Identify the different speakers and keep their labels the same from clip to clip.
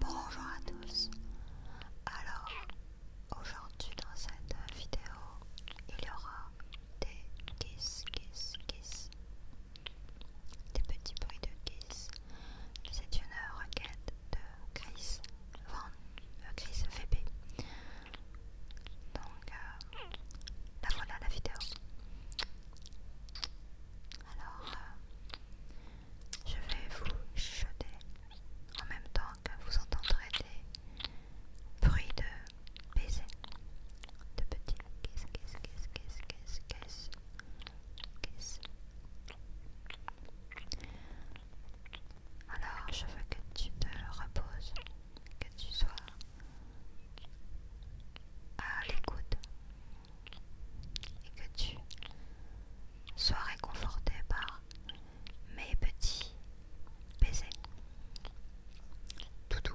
Speaker 1: Bonjour à tous. Alors, aujourd'hui dans cette vidéo, il y aura des kisses, kiss, kiss. Des petits bruits de kisses, C'est une requête de Chris Van euh, Donc la euh, ben voilà la vidéo. Alors euh, je vais vous chuchoter en même temps que vous entendrez des bruits de baiser de petits kiss kiss kiss kiss kiss alors, je veux que tu te reposes, que tu sois à l'écoute et que tu sois réconforté par mes petits baisers. Toutou.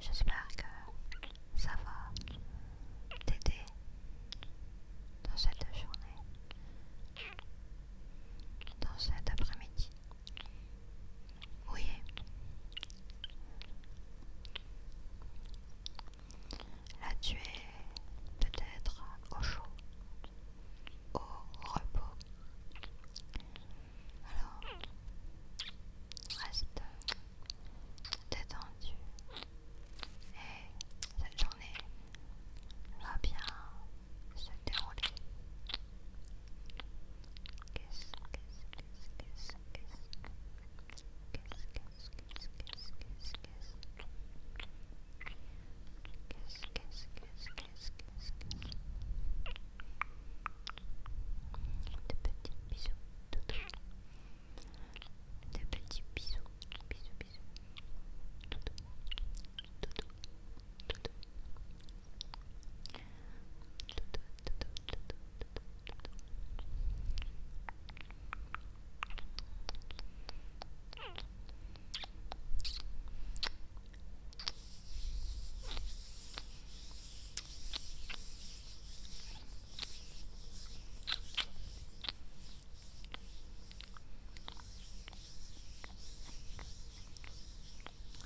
Speaker 1: J'espère que ça va t'aider dans cette journée, dans cet après-midi. Oui. Là tu es peut-être au chaud, au repos, alors, reste détendu et cette journée va bien se dérouler de petits bisous, de petits bisous, bisous, bisous,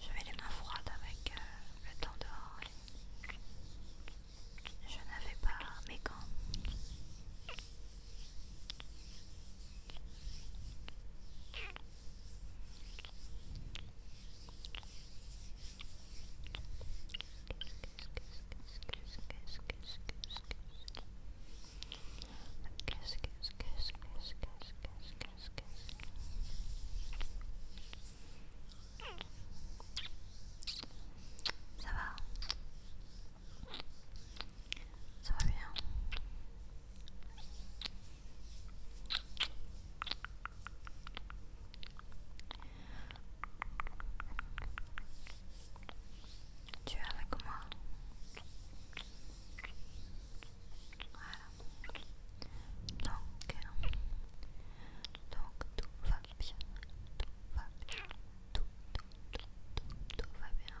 Speaker 1: j'avais les mains froides avec euh, le temps dehors. Je n'avais pas mes gants. Ça va bien tu es avec moi. Donc, donc tout va bien. Tout va bien. tout, tout, tout, tout va bien.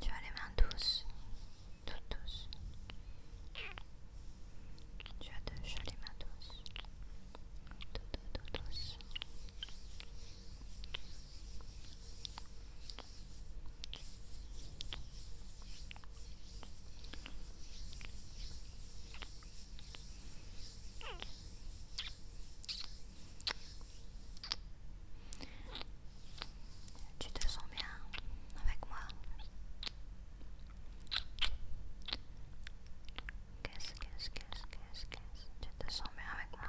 Speaker 1: Tu as les mains douces, toutes douces. Tu as de jolies mains douces, toutes douces. Tu te sens bien avec moi Qu'est-ce, quest qu'est-ce, Tu te sens bien avec moi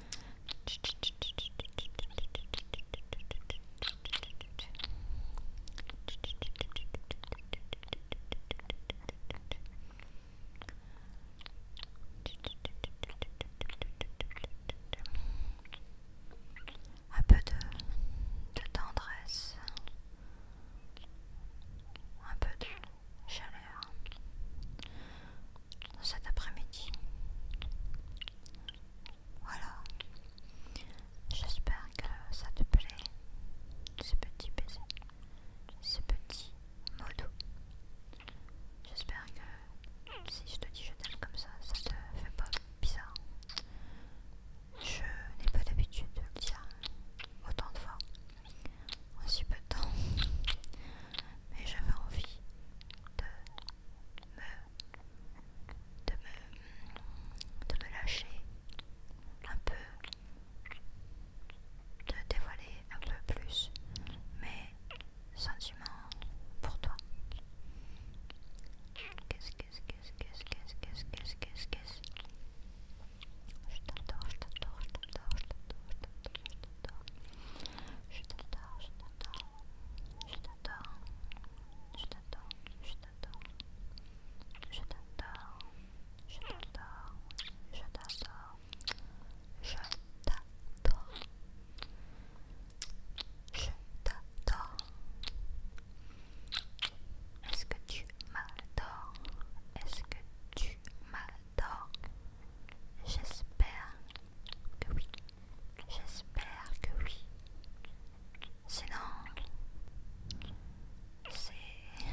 Speaker 1: Un peu de, tendresse, un peu de chaleur, cet après-midi. Voilà. J'espère que ça te plaît, ce petit baiser, ce petit mot J'espère que si je te dis je t'aime comme ça, ça te fait pas bizarre. Je n'ai pas l'habitude de le dire autant de fois, aussi peu de temps, mais j'avais envie de me, de me, lâcher un peu, de dévoiler un peu plus mes sentiments pour toi. Qu'est-ce, je t'adore, je t'adore, je t'adore, je t'adore, je t'adore, je t'adore, je t'adore, je t'adore, je t'adore, je t'adore. Est-ce que tu m'adores Est-ce que tu m'adores J'espère que oui. J'espère que oui. Sinon, c'est.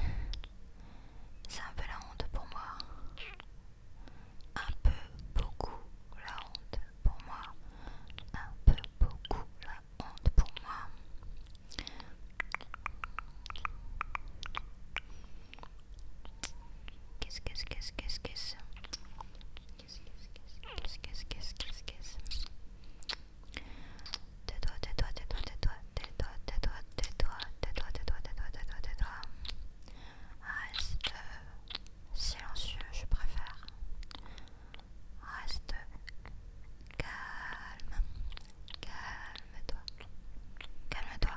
Speaker 1: C'est un peu la honte pour moi. Un peu, beaucoup la honte pour moi. Un peu, beaucoup la honte pour moi. Qu'est-ce que ce qu'est-ce qu'est-ce quest Qu'est-ce qu'est-ce que silencieux, je préfère. Reste calme. Calme-toi. Calme-toi.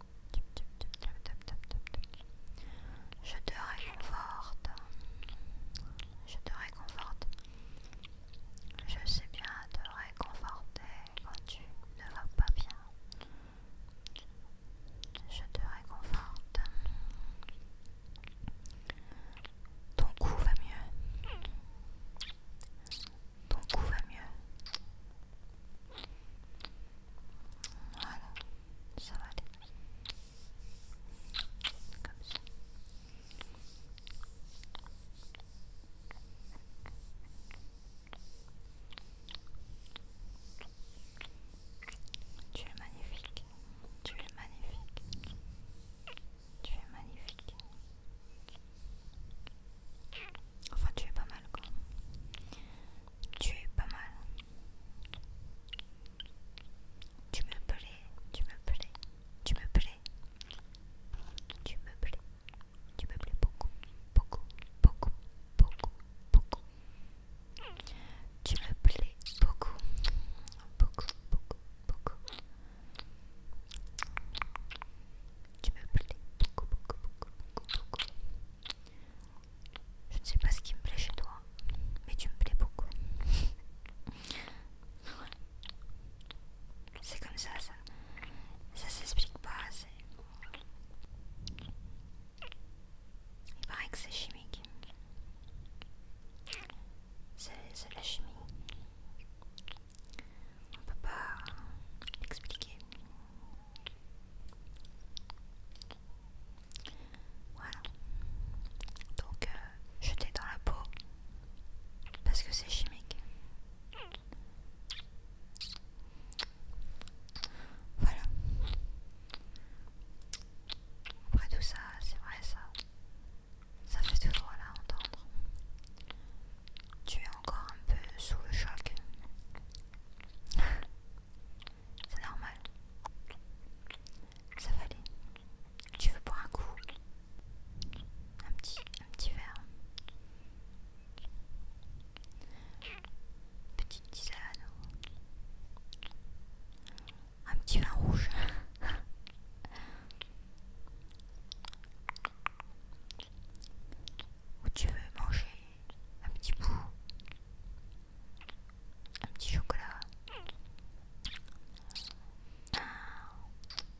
Speaker 1: Je te réconforte. Je te réconforte. Je sais bien te réconforter quand tu ne vas pas bien. Je te réconforte. Ton cou va mieux. Ton cou va mieux. Voilà, ça va aller. Comme ça. Tu es magnifique, tu es magnifique, tu es magnifique. Enfin, tu es pas mal quoi. Tu es pas mal. Tu me plais, tu me plais, tu me plais. Tu me plais, tu me plais beaucoup, beaucoup, beaucoup, beaucoup, beaucoup. Tu me plais beaucoup, beaucoup, beaucoup, beaucoup. Tu me plais beaucoup, beaucoup, beaucoup, beaucoup, beaucoup. Je ne sais pas ce qui me plaît chez toi, mais tu me plais beaucoup. C'est comme ça, ça. Ça s'explique pas. Il paraît que c'est chimique. C'est la chimie. On ne peut pas l'expliquer. Voilà. Donc euh, je t'ai dans la peau parce que c'est chimique. Voilà. Après tout ça, c'est vrai ça. Ça fait toujours là entendre. Tu es encore un peu sous le choc. C'est normal. Ça va aller. Tu veux boire un coup un petit, un petit verre. Petite tisane. Un petit vin rouge. Où tu veux manger un petit bout, un petit chocolat,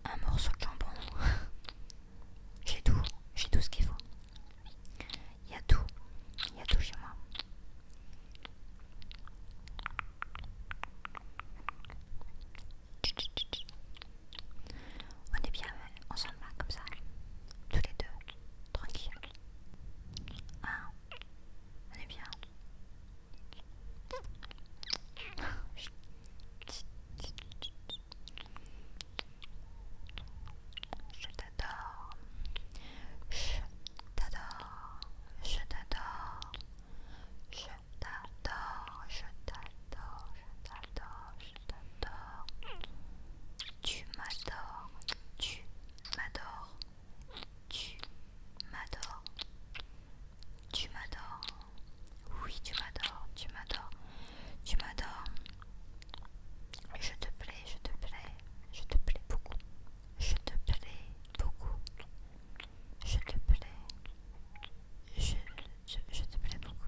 Speaker 1: un, morceau de jambon. j'ai tout, j'ai tout ce qu'il faut. Il y a tout, il y a tout chez moi. On est bien ensemble hein, comme ça, tous les deux tranquille. Ah, allez bien. Je t'adore. Je t'adore. Je t'adore. Je t'adore. Je t'adore. Je t'adore tu m'adores, tu m'adores, tu m'adores, tu m'adores, oui tu m'adores, tu m'adores, tu m'adores, je te plais, je te plais, je te plais beaucoup, je te plais beaucoup, je te plais. je te plais beaucoup.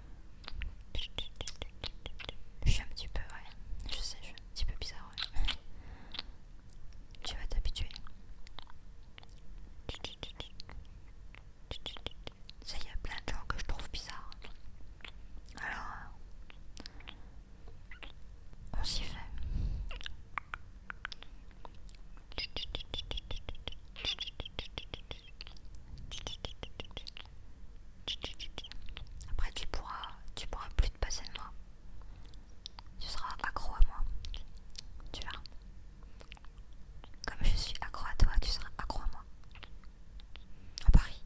Speaker 1: Je suis un petit peu, ouais. Je sais, je suis un petit peu bizarre, Tu vas t'habituer. Ça y a plein de gens que je trouve bizarre Alors, on s'y fait. Après tu pourras, tu pourras plus te passer de moi. Tu seras accro à moi. Tu verras. Comme je suis accro à toi, tu seras accro à moi. On parie.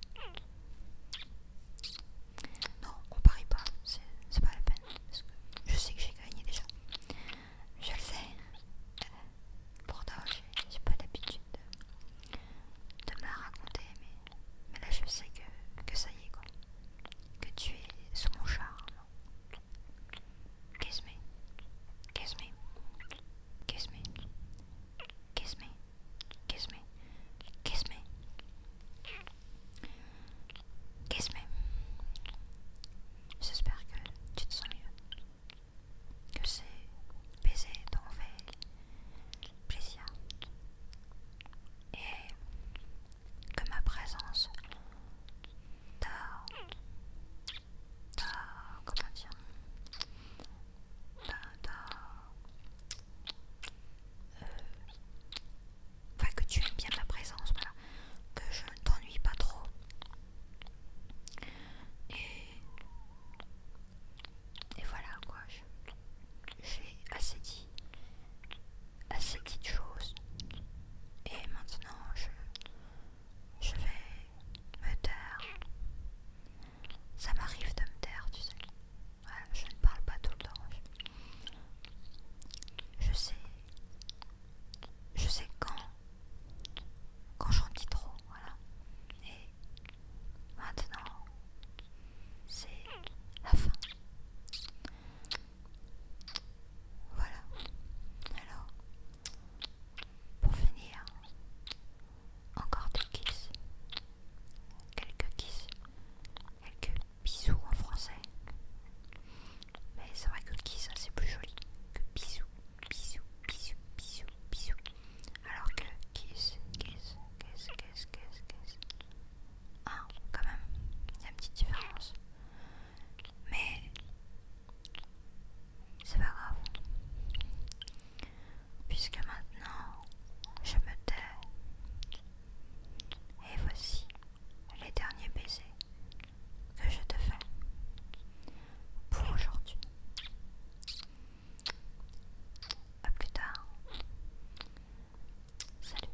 Speaker 1: Non, on parie pas. C'est pas la peine. Parce que je sais que j'ai gagné déjà. Je le sais. Euh, Pourtant, j'ai pas d'habitude de, me la raconter, mais, là je sais que, ça y est quoi. Que tu es sous mon charme. Kiss me. Kiss me. Kiss me. Kiss me. Kiss me. Kiss me. Kiss me. J'espère que tu te sens mieux que c'est ces baisers t'envahissent plaisir et que ma présence t'a, t'a, comment dire, t'a, t'a, euh, que tu aimes bien ma présence, voilà, que je ne t'ennuie pas trop. Et, voilà quoi, j'ai assez dit, assez dit de choses. Et maintenant je, vais me taire. Ça m'arrive de me taire, tu sais. je ne parle pas tout le temps. Je, sais. Je sais quand. Quand j'en dis trop voilà. Et maintenant, c'est la fin. Voilà. Alors, pour finir, encore des kisses. Quelques kisses. Quelques bisous en français. Mais c'est vrai que kiss, c'est plus joli que bisous bisous, bisous, bisous, bisous. Alors que kiss, kiss, kiss, kiss, kiss, kiss. Ah, quand même, il une petite différence. Mais c'est pas grave. Puisque maintenant, je me tais. Et voici les derniers baisers que je te fais pour aujourd'hui. A plus tard. Salut.